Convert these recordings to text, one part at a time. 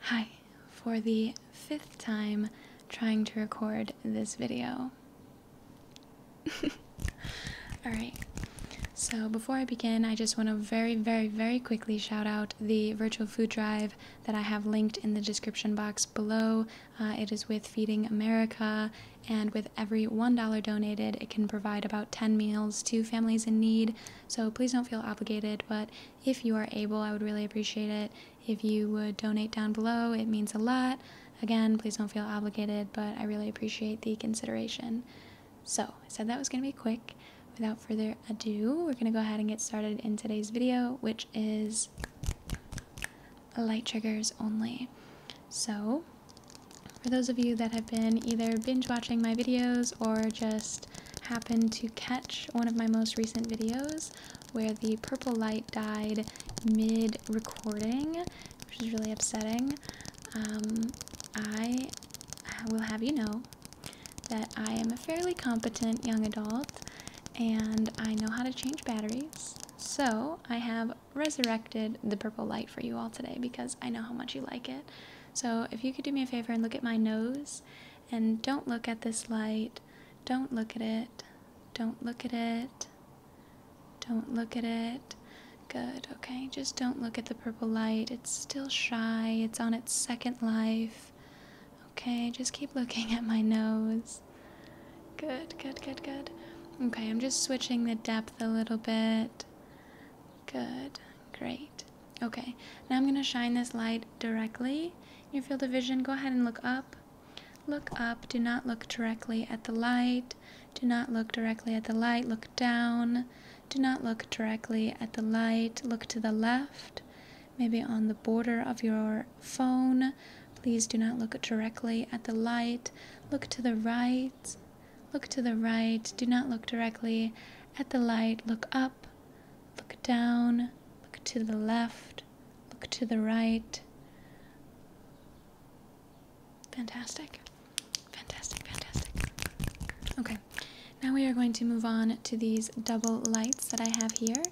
Hi, for the fifth time trying to record this video. Alright, so before I begin, I just want to very, very, very quickly shout out the virtual food drive that I have linked in the description box below. Uh, it is with Feeding America, and with every $1 donated, it can provide about 10 meals to families in need so please don't feel obligated, but if you are able, I would really appreciate it. If you would donate down below, it means a lot. Again, please don't feel obligated, but I really appreciate the consideration. So I said that was going to be quick. Without further ado, we're going to go ahead and get started in today's video, which is light triggers only. So for those of you that have been either binge watching my videos or just happened to catch one of my most recent videos where the purple light died mid recording, which is really upsetting, um, I will have you know that I am a fairly competent young adult and I know how to change batteries. So I have resurrected the purple light for you all today because I know how much you like it. So if you could do me a favor and look at my nose, and don't look at this light. Don't look at it. Don't look at it. Don't look at it. Good, okay? Just don't look at the purple light. It's still shy. It's on its second life. Okay, just keep looking at my nose. Good, good, good, good. Okay, I'm just switching the depth a little bit. Good. Great. Okay. Now I'm going to shine this light directly in your field of vision. Go ahead and look up. Look up. Do not look directly at the light. Do not look directly at the light. Look down. Do not look directly at the light. Look to the left, maybe on the border of your phone. Please do not look directly at the light. Look to the right. Look to the right. Do not look directly at the light. Look up. Look down. Look to the left. Look to the right. Fantastic. Fantastic, fantastic. Okay, now we are going to move on to these double lights that I have here.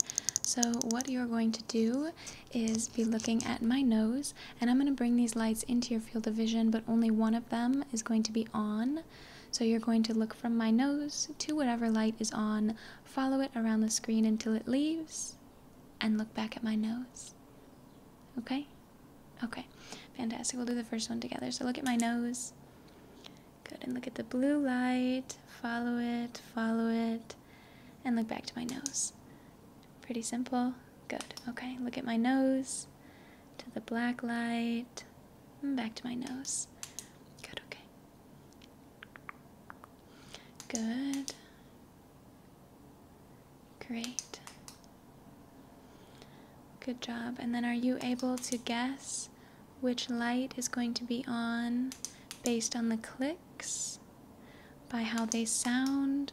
So what you're going to do is be looking at my nose and I'm going to bring these lights into your field of vision, but only one of them is going to be on. So you're going to look from my nose to whatever light is on, follow it around the screen until it leaves, and look back at my nose. Okay? Okay. Fantastic. We'll do the first one together. So look at my nose. Good. And look at the blue light. Follow it, follow it, and look back to my nose. Pretty simple. Good. Okay, look at my nose. To the black light. Hmm, back to my nose. Good, okay. Good. Great. Good job. And then are you able to guess which light is going to be on based on the clicks? By how they sound?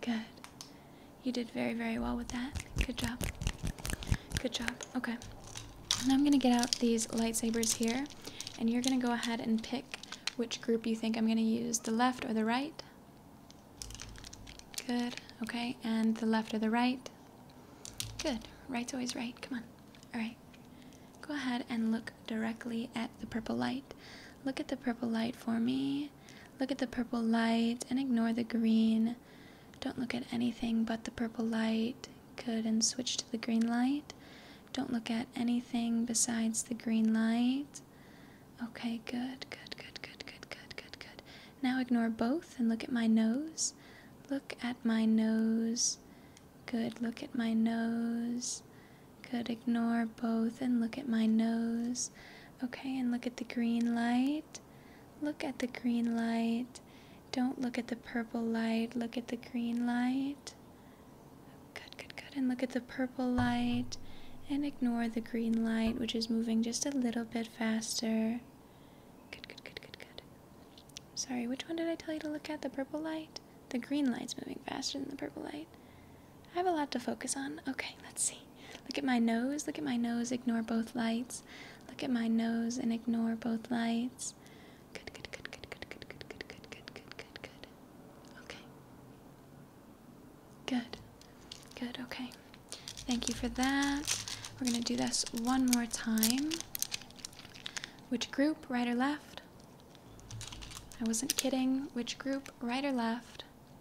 Good. You did very, very well with that. Good job. Good job. Okay. Now I'm going to get out these lightsabers here, and you're going to go ahead and pick which group you think I'm going to use, the left or the right. Good. Okay. And the left or the right. Good. Right's always right. Come on. All right. Go ahead and look directly at the purple light. Look at the purple light for me. Look at the purple light and ignore the green. Don't look at anything but the purple light. Good, and switch to the green light. Don't look at anything besides the green light. Okay, good, good, good, good, good, good, good, good. Now ignore both and look at my nose. Look at my nose. Good, look at my nose. Could ignore both and look at my nose. Okay, and look at the green light. Look at the green light. Don't look at the purple light. Look at the green light. Good, good, good. And look at the purple light. And ignore the green light, which is moving just a little bit faster. Good, good, good, good, good. Sorry, which one did I tell you to look at? The purple light? The green light's moving faster than the purple light. I have a lot to focus on. Okay, let's see. Look at my nose. Look at my nose. Ignore both lights. Look at my nose and ignore both lights. Good, good, good, good, good, good, good, good, good, good, good, good, good. Okay. Good. Good, okay. Thank you for that. We're going to do this one more time. Which group, right or left? I wasn't kidding. Which group, right or left?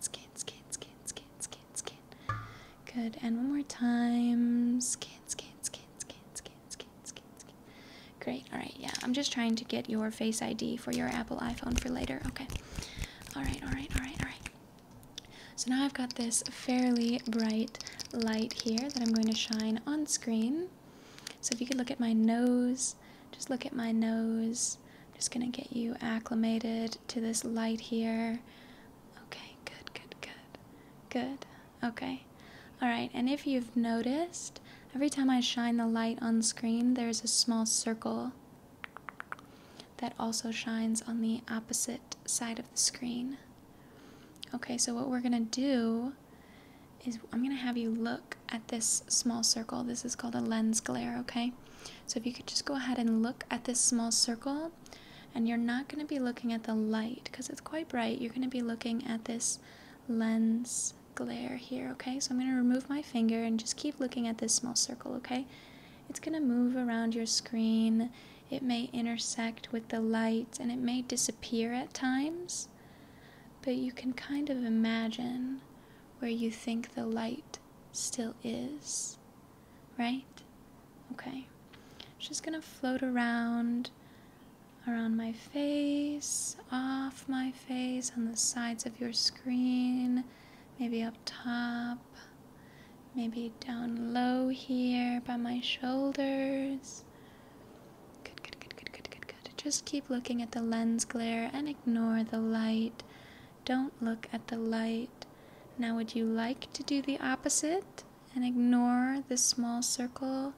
scan, scan, scan, scan, scan, scan, scan. Good, and one more time. Scan, scan, scan, scan, scan, scan, scan, Great, alright, yeah. I'm just trying to get your face ID for your Apple iPhone for later. Okay. Alright, alright, alright, alright. So now I've got this fairly bright light here that I'm going to shine on screen. So if you could look at my nose, just look at my nose. I'm just gonna get you acclimated to this light here. Okay, good, good, good. Good. Okay. Alright, and if you've noticed, every time I shine the light on screen, there's a small circle that also shines on the opposite side of the screen. Okay, so what we're gonna do is I'm gonna have you look at this small circle. This is called a lens glare, okay? So if you could just go ahead and look at this small circle, and you're not going to be looking at the light because it's quite bright. You're going to be looking at this lens glare here, okay? So I'm going to remove my finger and just keep looking at this small circle, okay? It's going to move around your screen. It may intersect with the light and it may disappear at times, but you can kind of imagine where you think the light still is, right? Okay. It's just going to float around around my face, off my face, on the sides of your screen, maybe up top, maybe down low here by my shoulders. Good, good, good, good, good, good, just keep looking at the lens glare and ignore the light. Don't look at the light. Now, would you like to do the opposite and ignore the small circle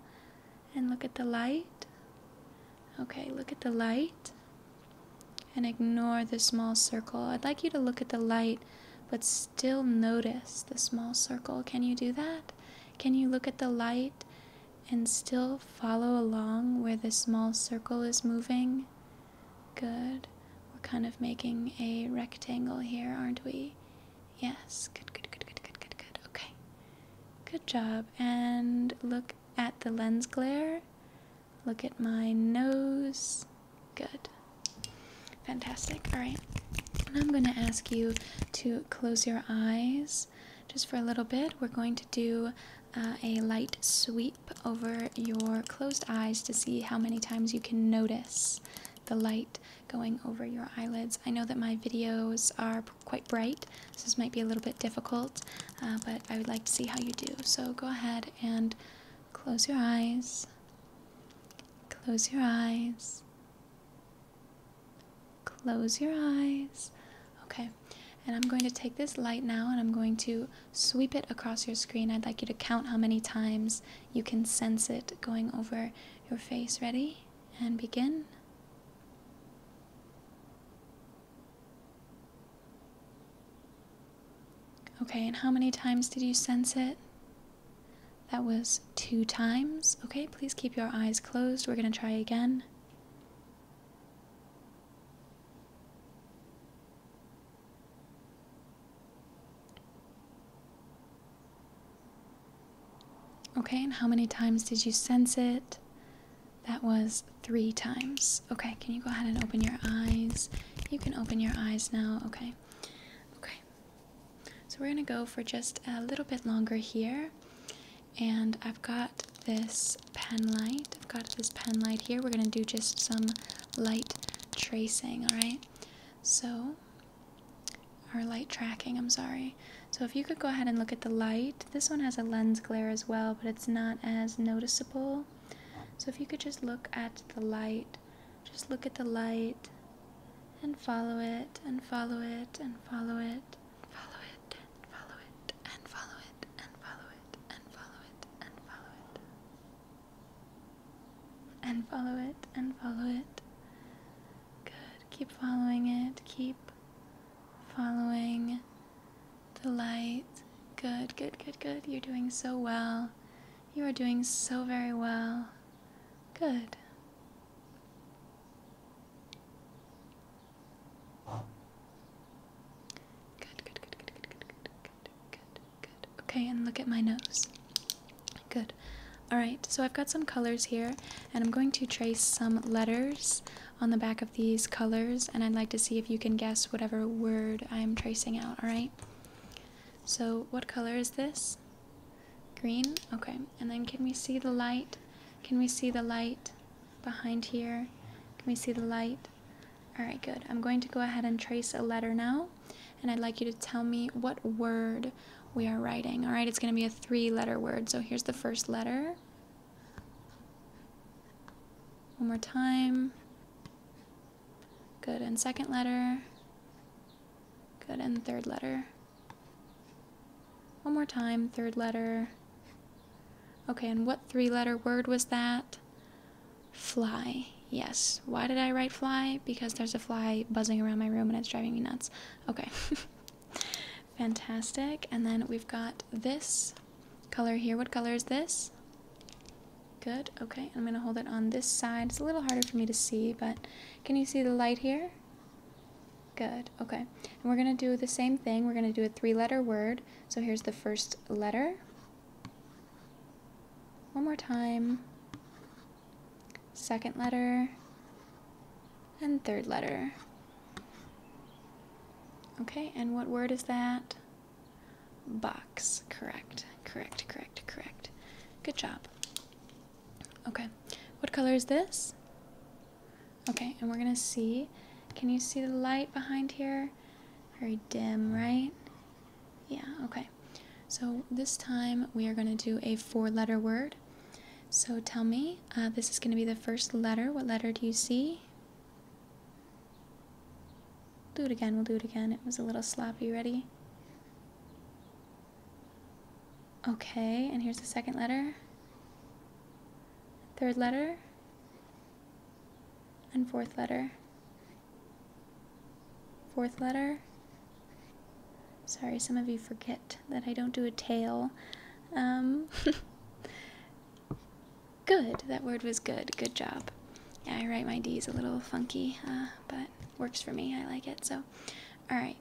and look at the light? Okay, look at the light and ignore the small circle. I'd like you to look at the light but still notice the small circle. Can you do that? Can you look at the light and still follow along where the small circle is moving? Good. We're kind of making a rectangle here, aren't we? Yes. Good, good, good, good, good, good, good. Okay. Good job. And look at the lens glare. Look at my nose. Good. Fantastic. All right. And I'm going to ask you to close your eyes just for a little bit. We're going to do uh, a light sweep over your closed eyes to see how many times you can notice the light going over your eyelids. I know that my videos are quite bright, so this might be a little bit difficult, uh, but I would like to see how you do. So go ahead and close your eyes, close your eyes, close your eyes. Okay, and I'm going to take this light now and I'm going to sweep it across your screen. I'd like you to count how many times you can sense it going over your face. Ready? And begin. Okay, and how many times did you sense it? That was two times. Okay, please keep your eyes closed. We're going to try again. Okay, and how many times did you sense it? That was three times. Okay, can you go ahead and open your eyes? You can open your eyes now. Okay. Okay. So we're going to go for just a little bit longer here. And I've got this pen light. I've got this pen light here. We're going to do just some light tracing, alright? So, our light tracking, I'm sorry. So if you could go ahead and look at the light. This one has a lens glare as well, but it's not as noticeable. So if you could just look at the light, just look at the light and follow it and follow it and follow it. Follow it, follow it, and follow it, and follow it, and follow it, and follow it. And follow it, and follow it. Good. Keep following it. Keep following the light. Good, good, good, good. You're doing so well. You are doing so very well. Good. Good, good, good, good, good, good, good, good, good, good. Okay, and look at my nose. Good. Alright, so I've got some colors here, and I'm going to trace some letters on the back of these colors, and I'd like to see if you can guess whatever word I'm tracing out, alright? So, what color is this? Green? Okay, and then can we see the light? Can we see the light? behind here. Can we see the light? All right, good. I'm going to go ahead and trace a letter now, and I'd like you to tell me what word we are writing. All right, it's going to be a three-letter word. So here's the first letter. One more time. Good, and second letter. Good, and third letter. One more time, third letter. Okay, and what three letter word was that? Fly. Yes. Why did I write fly? Because there's a fly buzzing around my room and it's driving me nuts. Okay. Fantastic. And then we've got this color here. What color is this? Good. Okay. I'm going to hold it on this side. It's a little harder for me to see, but can you see the light here? Good, okay. And we're going to do the same thing. We're going to do a three-letter word. So here's the first letter. One more time. Second letter. And third letter. Okay, and what word is that? Box. Correct, correct, correct, correct. Good job. Okay, what color is this? Okay, and we're gonna see. Can you see the light behind here? Very dim, right? Yeah, okay. So this time we are gonna do a four letter word. So tell me, uh, this is gonna be the first letter. What letter do you see? Do it again, we'll do it again. It was a little sloppy, ready? Okay, and here's the second letter. Third letter. And fourth letter. Fourth letter. Sorry, some of you forget that I don't do a tail. Um, good, that word was good. Good job. Yeah, I write my D's a little funky, uh, but works for me. I like it. So, all right.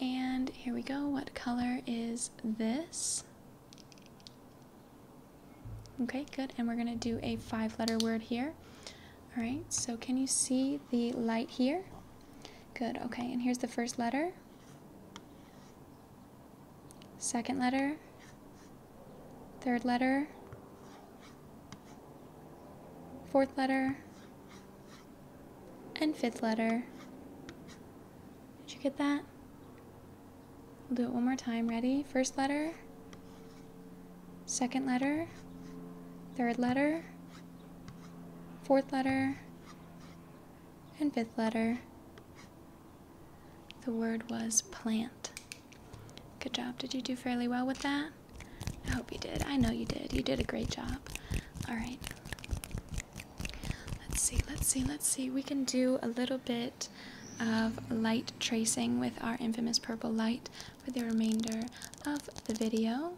And here we go. What color is this? Okay, good. And we're going to do a five letter word here. All right, so can you see the light here? Good, okay. And here's the first letter, second letter, third letter, fourth letter, and fifth letter. Did you get that? We'll do it one more time. Ready? First letter, second letter, third letter, fourth letter, and fifth letter. The word was plant. Good job. Did you do fairly well with that? I hope you did. I know you did. You did a great job. All right. Let's see, let's see, let's see. We can do a little bit of light tracing with our infamous purple light for the remainder of the video.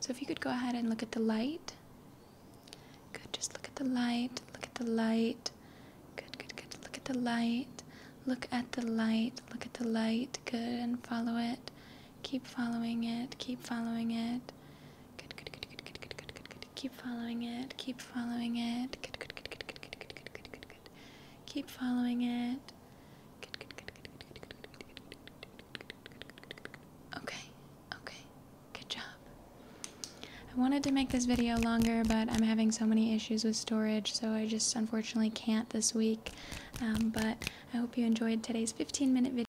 So if you could go ahead and look at the light. Good, just look at the light, look at the light. Good, good, good. Look at the light. Look at the light. Look at the light. Good, and follow it. Keep following it. Keep following it. Good, good, good, good, good, good, good, good, Keep following it. Keep following it. Good, good, good, good, good, good, good, good, good, good, Keep following it. Good, Okay. Okay. Good job. I wanted to make this video longer, but I'm having so many issues with storage, so I just unfortunately can't this week. but I hope you enjoyed today's 15-minute video.